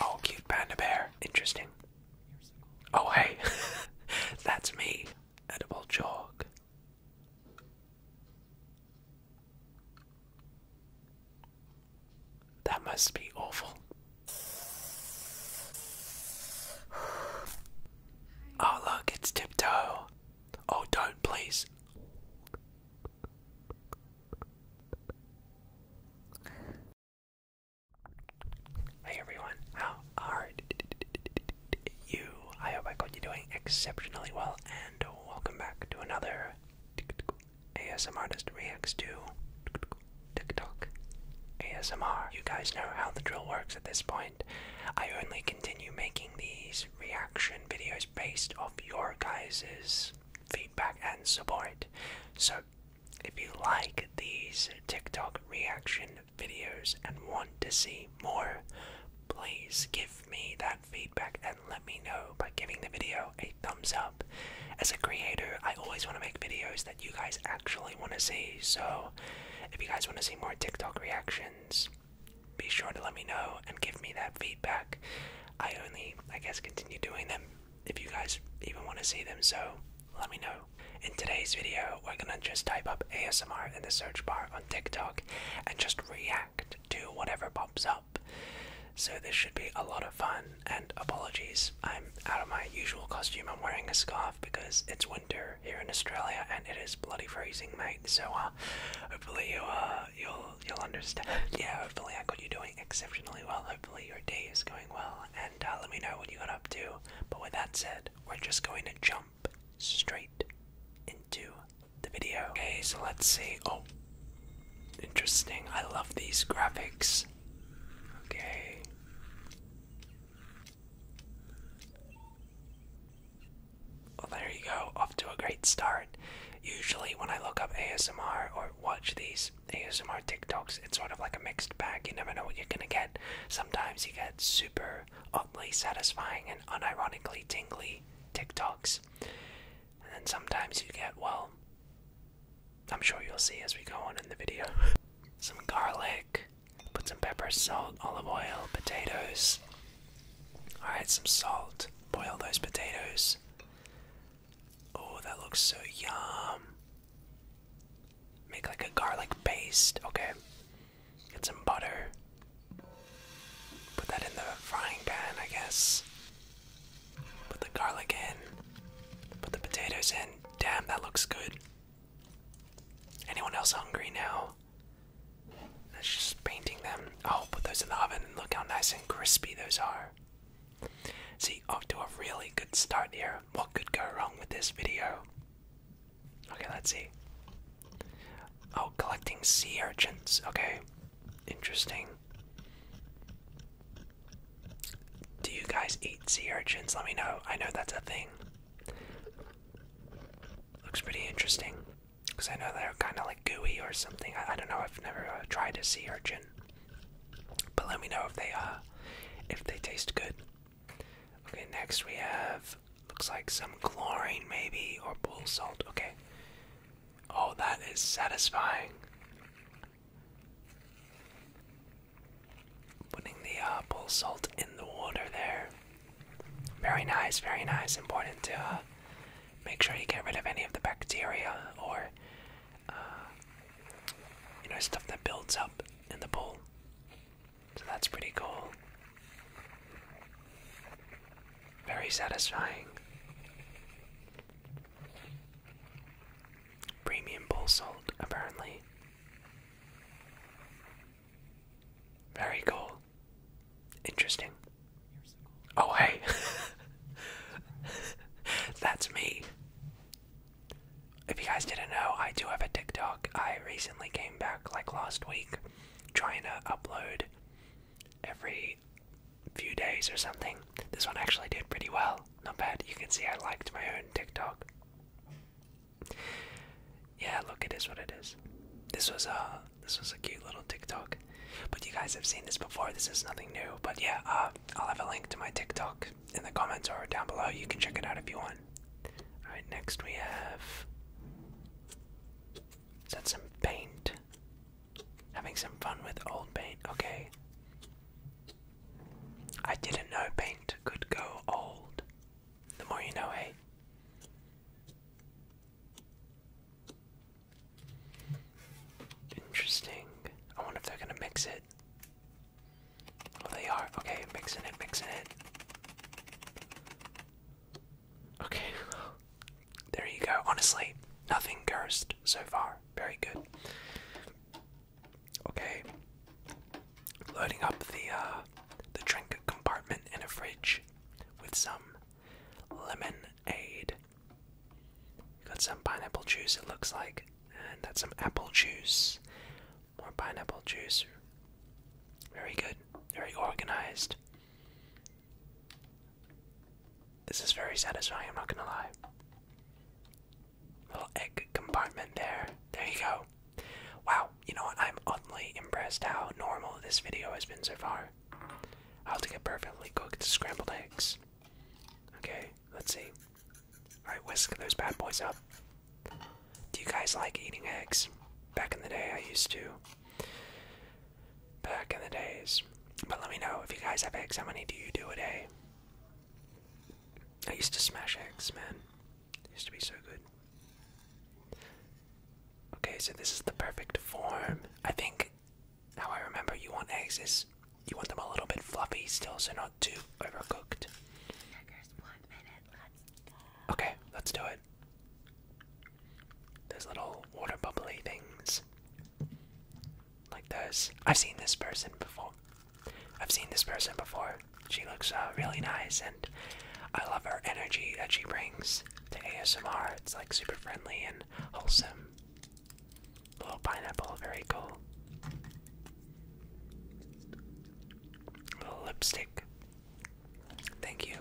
Oh, cute panda bear. Interesting. Oh, hey. That's me. Edible chalk. That must be awful. Oh, look, it's tiptoe. Oh, don't, please. Hey everyone, how are you? I hope I got you doing exceptionally well, and welcome back to another ASM Artist Reacts to TikTok ASMR. You guys know how the drill works at this point. I only continue making these reaction videos based off your guys' feedback and support. So, if you like these TikTok reaction videos and want to see more, please give me that feedback and let me know by giving the video a thumbs up. As a creator, I always want to make videos that you guys actually want to see. So, if you guys want to see more TikTok reactions, be sure to let me know and give me that feedback. I only, I guess, continue doing them if you guys even want to see them, so let me know. In today's video, we're gonna just type up ASMR in the search bar on TikTok and just react to whatever pops up. So, this should be a lot of fun. And apologies, I'm out of my usual costume. I'm wearing a scarf because it's winter here in Australia and it is bloody freezing, mate. So, uh, hopefully, uh, you'll you'll understand. Yeah, hopefully I got you doing exceptionally well. Hopefully your day is going well, and uh, let me know what you got up to. But with that said, we're just going to jump straight into the video. Okay, so let's see. Oh, interesting. I love these graphics. Okay. Well, there you go, off to a great start. Usually, when I look up ASMR or watch these ASMR TikToks, it's sort of like a mixed bag. You never know what you're gonna get. Sometimes you get super oddly satisfying and unironically tingly TikToks. And then sometimes you get, well, I'm sure you'll see as we go on in the video. some garlic, put some pepper, salt, olive oil, potatoes. Alright, some salt. Boil those potatoes. Oh, that looks so yum. Make like a garlic paste. Okay. Get some butter. Put that in the frying pan, I guess. Put the garlic in. Put the potatoes in. Damn, that looks good. Anyone else hungry now? That's just painting them. I'll put those in the oven and look how nice and crispy those are. See, off to a really good start here. What could go wrong with this video? Okay, let's see. Oh, collecting sea urchins. Okay, interesting. Do you guys eat sea urchins? Let me know. I know that's a thing. Looks pretty interesting. Because I know they're kind of like gooey or something. I, don't know. I've never uh, tried a sea urchin. But let me know if they uh, if they taste good. Okay, next we have looks like some chlorine maybe or bull salt. Okay. Oh, that is satisfying. Putting the uh, salt in the water there. Very nice, very nice. Important to uh, make sure you get rid of any of the bacteria or uh, you know stuff that builds up in the bowl. So that's pretty cool. Very satisfying. Premium bowl salt, apparently. Very cool. Interesting. Oh, hey. That's me. If you guys didn't know, I do have a TikTok. I recently came back like last week trying to upload every few days or something. This one actually did pretty well. Not bad. You can see I liked my own TikTok. Yeah, look, it is what it is. This was a. Uh, this was a cute little TikTok. But you guys have seen this before. This is nothing new. But yeah, uh, I'll have a link to my TikTok in the comments or down below. You can check it out if you want. All right, next we have. Is that some paint? Having some fun with old paint. Okay. I didn't know paint could go old. The more you know, hey. Interesting. I wonder if they're gonna mix it. Oh, they are. Okay, mixing it, mixing it. Okay. There you go. Honestly, nothing cursed so far. Very good. Okay. Loading up the uh, the drink compartment in a fridge with some lemonade. Got some pineapple juice, it looks like, and that's some apple juice. More pineapple juice. Very good, very organized. This is very satisfying, I'm not gonna lie. Little egg compartment there. There you go. Wow, you know what? I'm oddly impressed how normal this video has been so far. How to get perfectly cooked scrambled eggs. Okay, let's see. Alright, whisk those bad boys up. Do you guys like eating eggs? Back in the day, I used to. Back in the days. But let me know if you guys have eggs, how many do you do a day? I used to smash eggs, man. used to be so good. Okay, so this is the perfect form. I think how I remember you want eggs is you want them a little bit fluffy still, so not too overcooked. Okay, let's do it. There's little water bubbly things like those. I've seen this person before. I've seen this person before. She looks uh, really nice, and I love her energy that she brings the ASMR. It's like super friendly and wholesome. Little pineapple, very cool. Little lipstick. Thank you.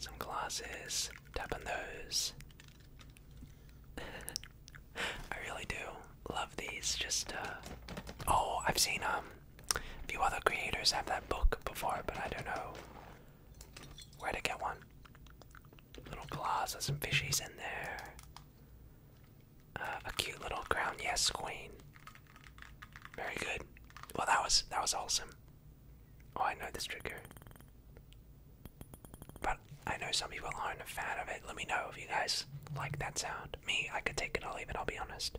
Some glasses. Tap on those. I really do love these. Just uh oh, I've seen um a few other creators have that book before, but I don't know where to get one. Little claws with some fishies in there. Uh, a cute little crown, yes, queen. Very good. Well, that was that was awesome. Oh, I know this trigger, but I know some people aren't a fan of it. Let me know if you guys like that sound. Me, I could take it I'll leave it. I'll be honest.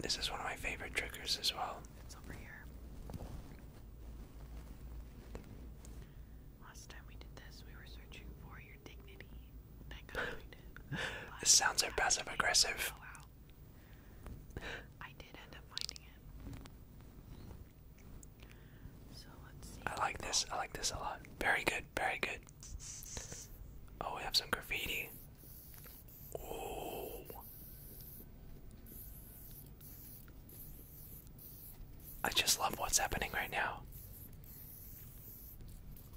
This is one of my favorite triggers as well. It's over here. Last time we did this, we were searching for your dignity. Thank God we did. this sounds so passive aggressive. I did end up finding it. So let's see. I like this. I like this a lot. Very good. Very good. Oh, we have some graffiti. I just love what's happening right now.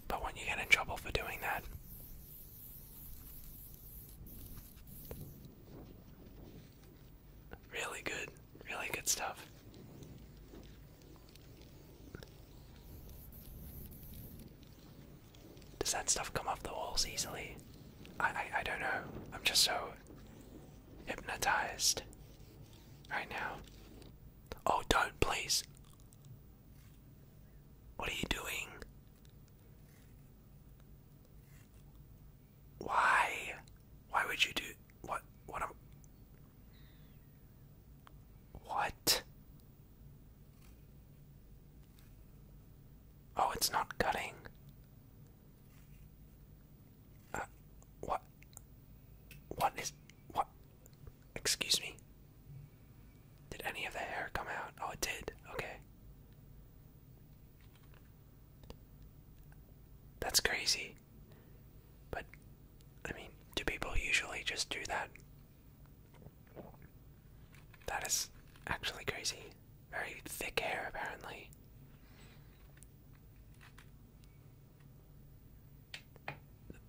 But when you get in trouble for doing that, really good, really good stuff. Does that stuff come off the walls easily? I, I, I don't know. I'm just so hypnotized right now. Oh, don't, please. What are you doing? Why? Why would you do what? What what? Oh, it's not cutting. Uh, what? What is. What? Excuse me? Did any of the hair come out? Oh, it did. Okay. That's crazy. But, I mean, do people usually just do that? That is actually crazy. Very thick hair, apparently.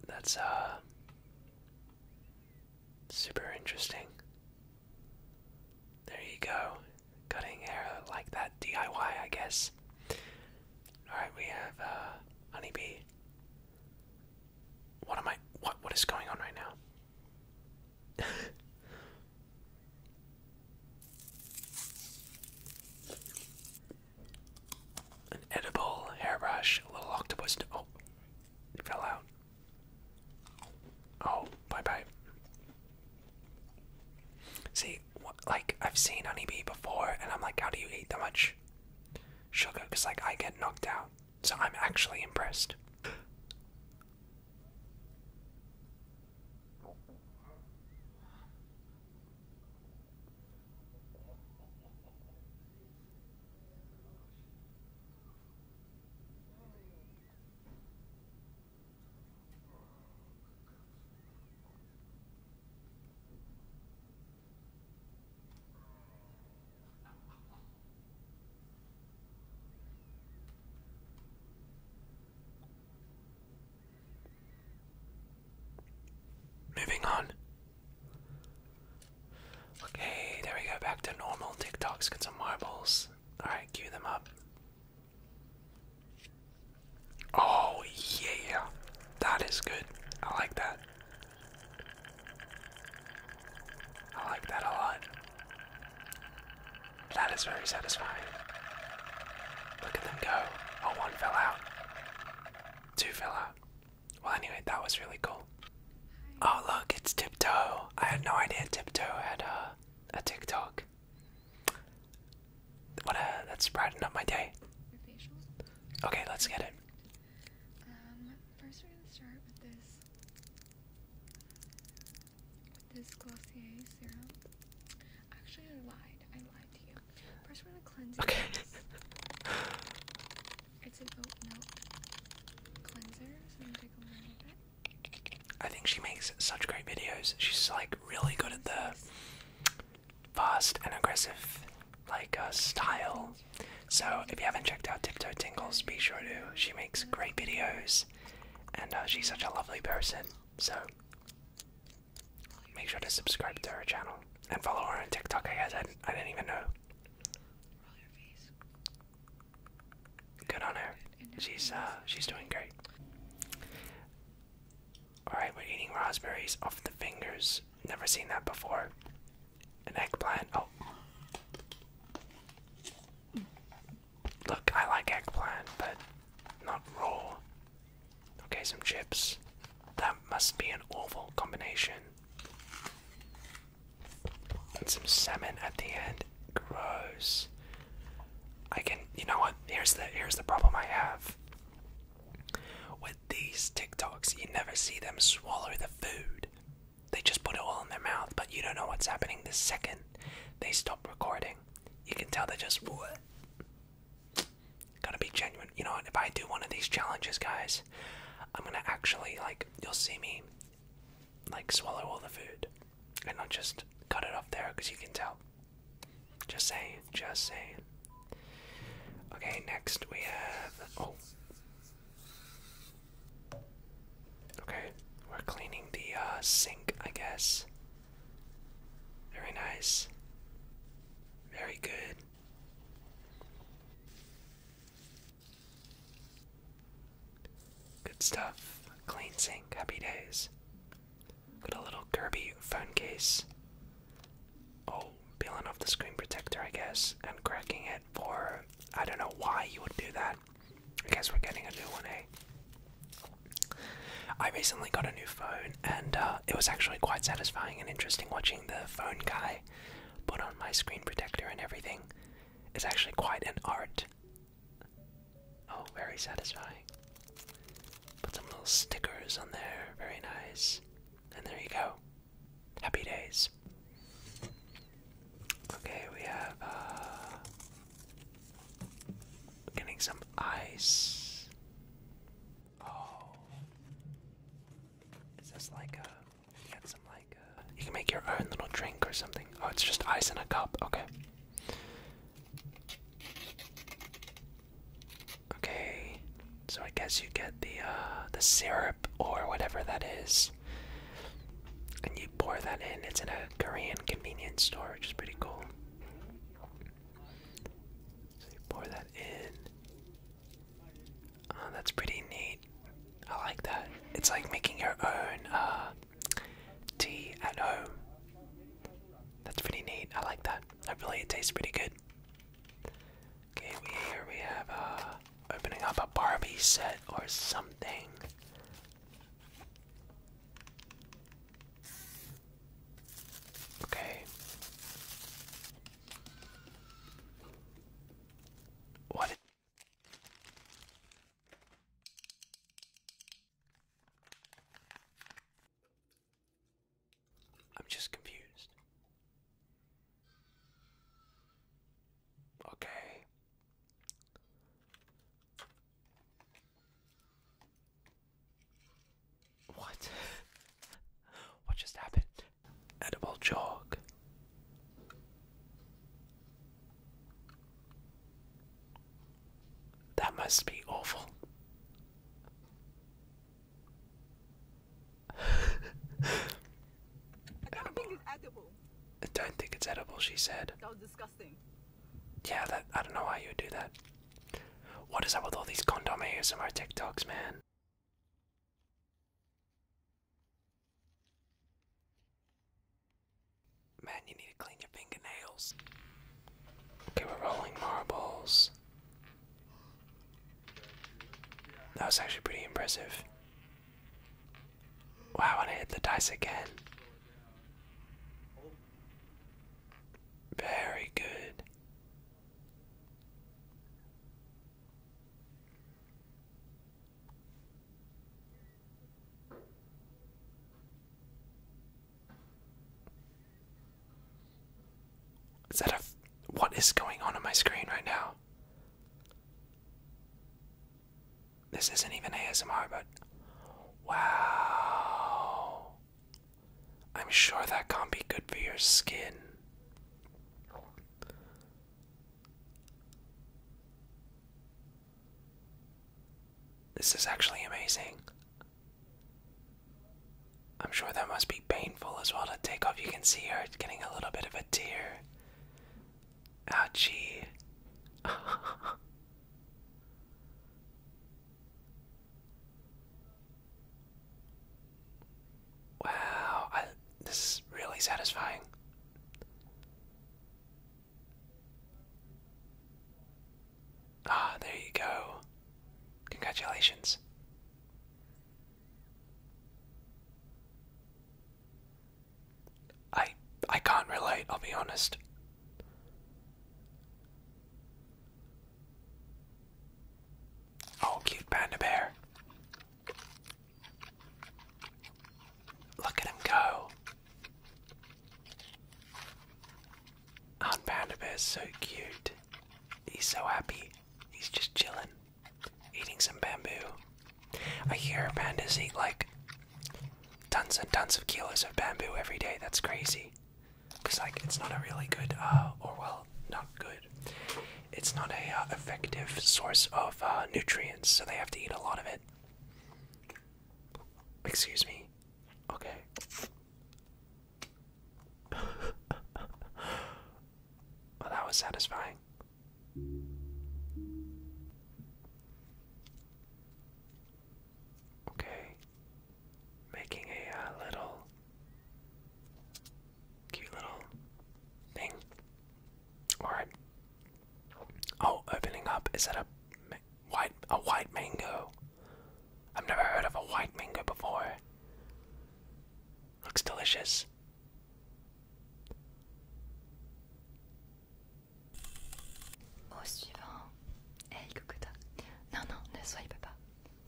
That's, uh, super interesting. There you go. Cutting hair like that DIY, I guess. Alright, we have, uh, Honeybee. What am I what what is going on right now? An edible hairbrush, a little octopus. Oh, fell out. Oh, bye bye. See, like I've seen honeybee before, and I'm like, how do you eat that much? much sugar because like I get knocked out. So I'm actually impressed. Moving on. Okay, there we go, back to normal. TikToks. has some marbles. Alright, cue them up. Oh, yeah, that is good. I like that. I like that a lot. That is very satisfying. Look at them go. Oh, one fell out. Two fell out. Well, anyway, that was really cool. Oh, look, it's Tiptoe. I had no idea Tiptoe had a, a TikTok. What that's brightened up my day. Okay, let's get it. Um, first we're gonna start with this with this Glossier serum. Actually, I lied. I lied to you. First, we're gonna cleanse okay. It's an oat milk cleanser, i I think she makes such great videos. She's like really good at the fast and aggressive like uh, style. So if you haven't checked out Tiptoe Tingles, be sure to. She makes great videos, and uh, she's such a lovely person. So make sure to subscribe to her channel and follow her on TikTok. I guess I, didn't even know. Good on her. She's uh, she's doing great. Alright, we're eating raspberries off the fingers. Never seen that before. An eggplant. Oh. Look, I like eggplant, but not raw. Okay, some chips. That must be an awful combination. And some salmon at the end. Gross. I can you know what? Here's the here's the problem I have. With these TikToks, you never see them swallow the food. They just put it all in their mouth, but you don't know what's happening the second they stop recording. You can tell they just what. Gotta be genuine. You know what? If I do one of these challenges, guys, I'm gonna actually like you'll see me like swallow all the food and not just cut it off there because you can tell. Just saying, just saying. Okay, next we have. Oh. Okay, we're cleaning the uh, sink, I guess. Very nice. Very good. Good stuff. Clean sink. Happy days. Got a little Kirby phone case. Oh, peeling off the screen protector, I guess, and cracking it for. I don't know why you would do that. I guess we're getting a new one, eh? recently got a new phone, and uh, it was actually quite satisfying and interesting watching the phone guy put on my screen protector and everything. It's actually quite an art. Oh, very satisfying. Put some little stickers on there. Very nice. And there you go. Happy days. Okay, we have uh getting some ice. Oh. Is this like a you get some like a, uh, you can make your own little drink or something. Oh, it's just ice in a cup. Okay. Okay, so I guess you get the uh, the syrup or whatever that is, and you pour that in. It's in a Korean convenience store, which is pretty cool. So you pour that in. Oh, that's pretty neat. I like that. It's like making your own uh, tea at home. That's pretty neat. I like that. I believe it tastes pretty good. Okay, here we have uh, opening up a Barbie set or something. Okay. What? I'm just confused. Okay. What? what just happened? Edible chalk. That must be awful. I don't think it's edible. I don't think it's edible, she said. That was disgusting. Yeah, that I don't know why you would do that. What is up with all these condom ASMR TikToks, man? Man, you need to clean your fingernails. Okay, we're rolling marbles. That was actually pretty impressive. Wow, and I hit the dice again. Very good. Is that a. What is going on on my screen right now? This isn't even ASMR, but. Wow. I'm sure that can't be good for your skin. This is actually amazing. I'm sure that must be painful as well to take off. You can see her getting a little bit of a tear. Ouchie. wow, this is really satisfying. Ah, there you go. Congratulations. I I can't relate, I'll be honest. Oh, cute panda bear. Look at him go. And oh, Panda is so cute. He's so happy. He's just chilling, eating some bamboo. I hear pandas eat like tons and tons of kilos of bamboo every day. That's crazy. Because, like, it's not a really good, uh, or well, not good. It's not a uh, effective source of uh, nutrients, so they have to eat a lot of it. Excuse me. Okay. well, that was satisfying. Okay. Making a uh, little cute little thing. Alright, Oh, opening up. Is that a white a white mango? I've never heard of a white mango before. Looks delicious. Au suivant. Hey Cocotta. Non, non, ne soyez pas.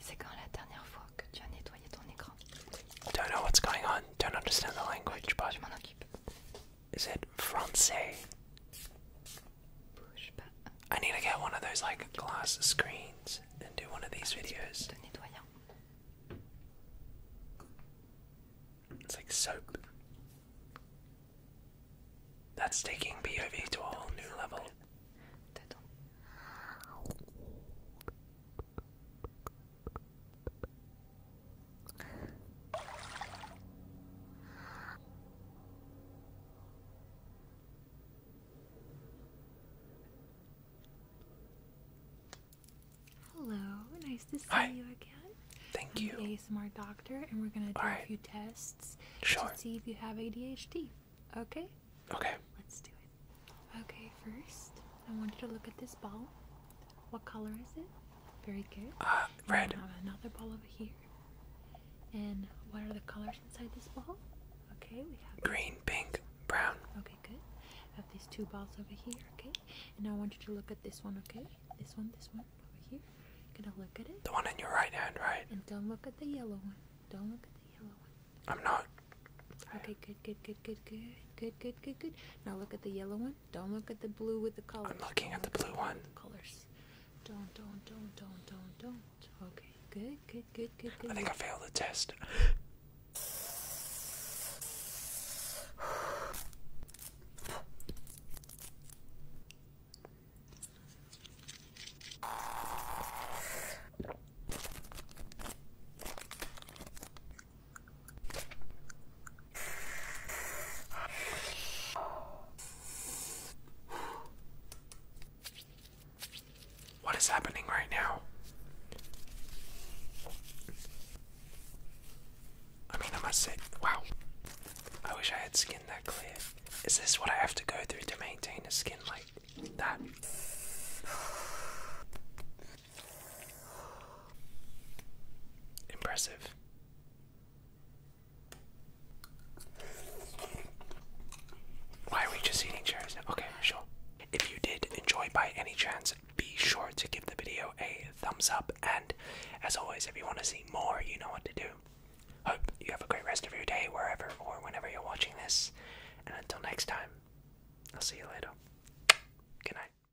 C'est quand la dernière fois que tu as nettoyé ton écran. Don't know what's going on. Don't understand the language, but. Je m'en occupe. Is it Francais? I need to get one of those like glass screens and do one of these ah, videos. It's like soap. That's taking POV to a whole new level. Hello, nice to see you again. Thank you. I'm ASMR doctor, and we're gonna do a few tests to see if you have ADHD. Okay. Okay. Let's do it. Okay, first I want you to look at this ball. What color is it? Very good. Uh, red. We have another ball over here. And what are the colors inside this ball? Okay, we have green, pink, brown. Okay, good. I have these two balls over here, okay? And I want you to look at this one, okay? This one, this one, over here. You're gonna look at it. The one in your right hand, right? And don't look at the yellow one. Don't look at the yellow one. I'm not. Okay, good, good, good, good, good, good, good, good, good. Now look at the yellow one. Don't look at the blue with the colors. I'm looking at the blue one. The colors. Don't, don't, don't, don't, don't, don't. Okay, good, good, good, good, good. I think I failed the test. What is happening right now? I mean, I must say, wow. I wish I had skin that clear. Is this what I have to go through to maintain a skin like that? Impressive. Why are we just eating cherries Okay, sure. If you did enjoy by any chance, be sure to give the video a thumbs up. And as always, if you want to see more, you know what to do. Hope you have a great rest of your day, wherever or whenever you're watching this. And until next time, I'll see you later. Good night.